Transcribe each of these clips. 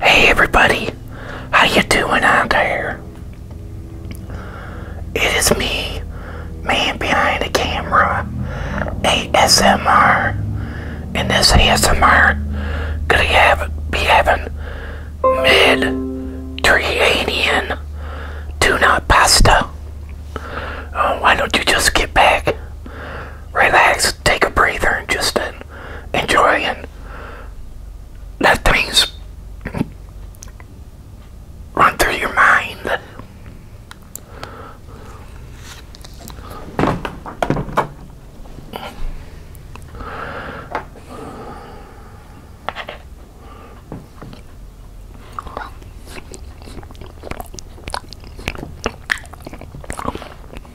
Hey everybody, how you doing out there? It is me, man behind the camera, ASMR. And this ASMR gonna have be having mid Mediterranean tuna pasta. Oh, why don't you just get back relax, take a breather, and just enjoy and let things run through your mind.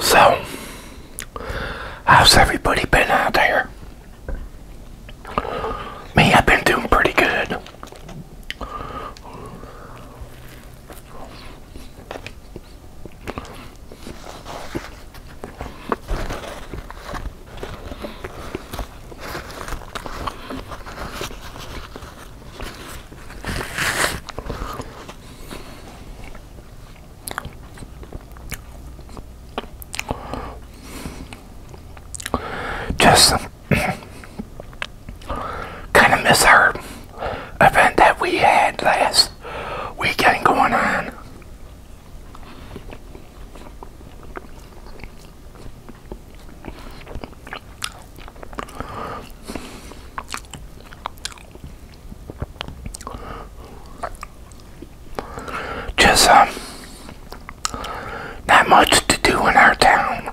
So, how's everybody been out there? Me, I've been doing pretty good. Just some kind of miss event that we had last weekend going on. Just, uh, not much to do in our town.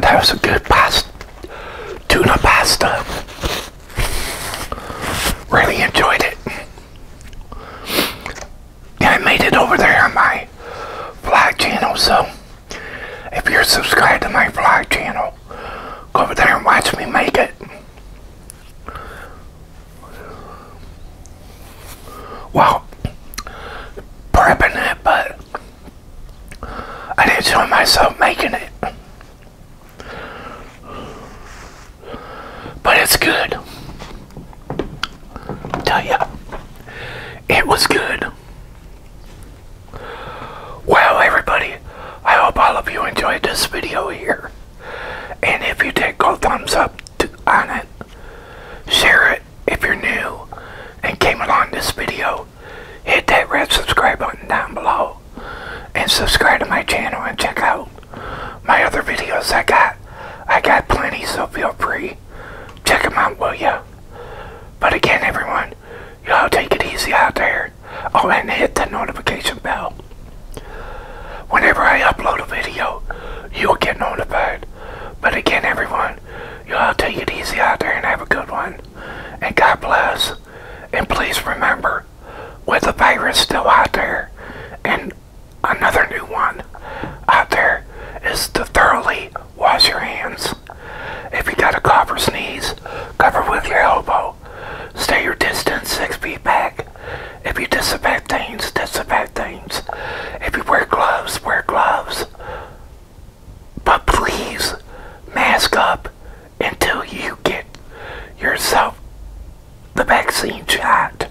that was a good pasta, tuna pasta. Really enjoyed it. I made it over there on my vlog channel. So if you're subscribed to my vlog channel, go over there and watch me make it. Well, prepping it, but I did show myself making it. But it's good tell you, it was good. Well, everybody, I hope all of you enjoyed this video here. And if you did, go thumbs up on it. Share it if you're new and came along this video. Hit that red subscribe button down below. And subscribe to my channel and check out my other videos I got. I got plenty, so feel free. Check them out, will ya? But again, everyone, y'all take it easy out there. Oh, and hit the notification bell. Whenever I upload a video, you'll get notified. But again, everyone, y'all take it easy out there and have a good one. And God bless. And please remember, with the virus still out there, and another new one out there is to thoroughly wash your hands. If you got a cough or sneeze, cover with your elbow. Stay your distance six feet back. If you disinfect things, disinfect things. If you wear gloves, wear gloves. But please, mask up until you get yourself the vaccine shot.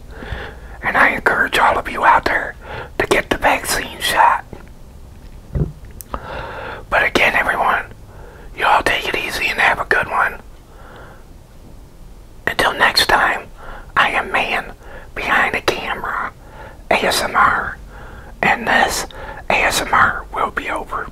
And I encourage all of you out there to get the vaccine shot. But again, everyone, you all take it easy and have a good one. Until next time, I am man behind the camera, ASMR, and this ASMR will be over.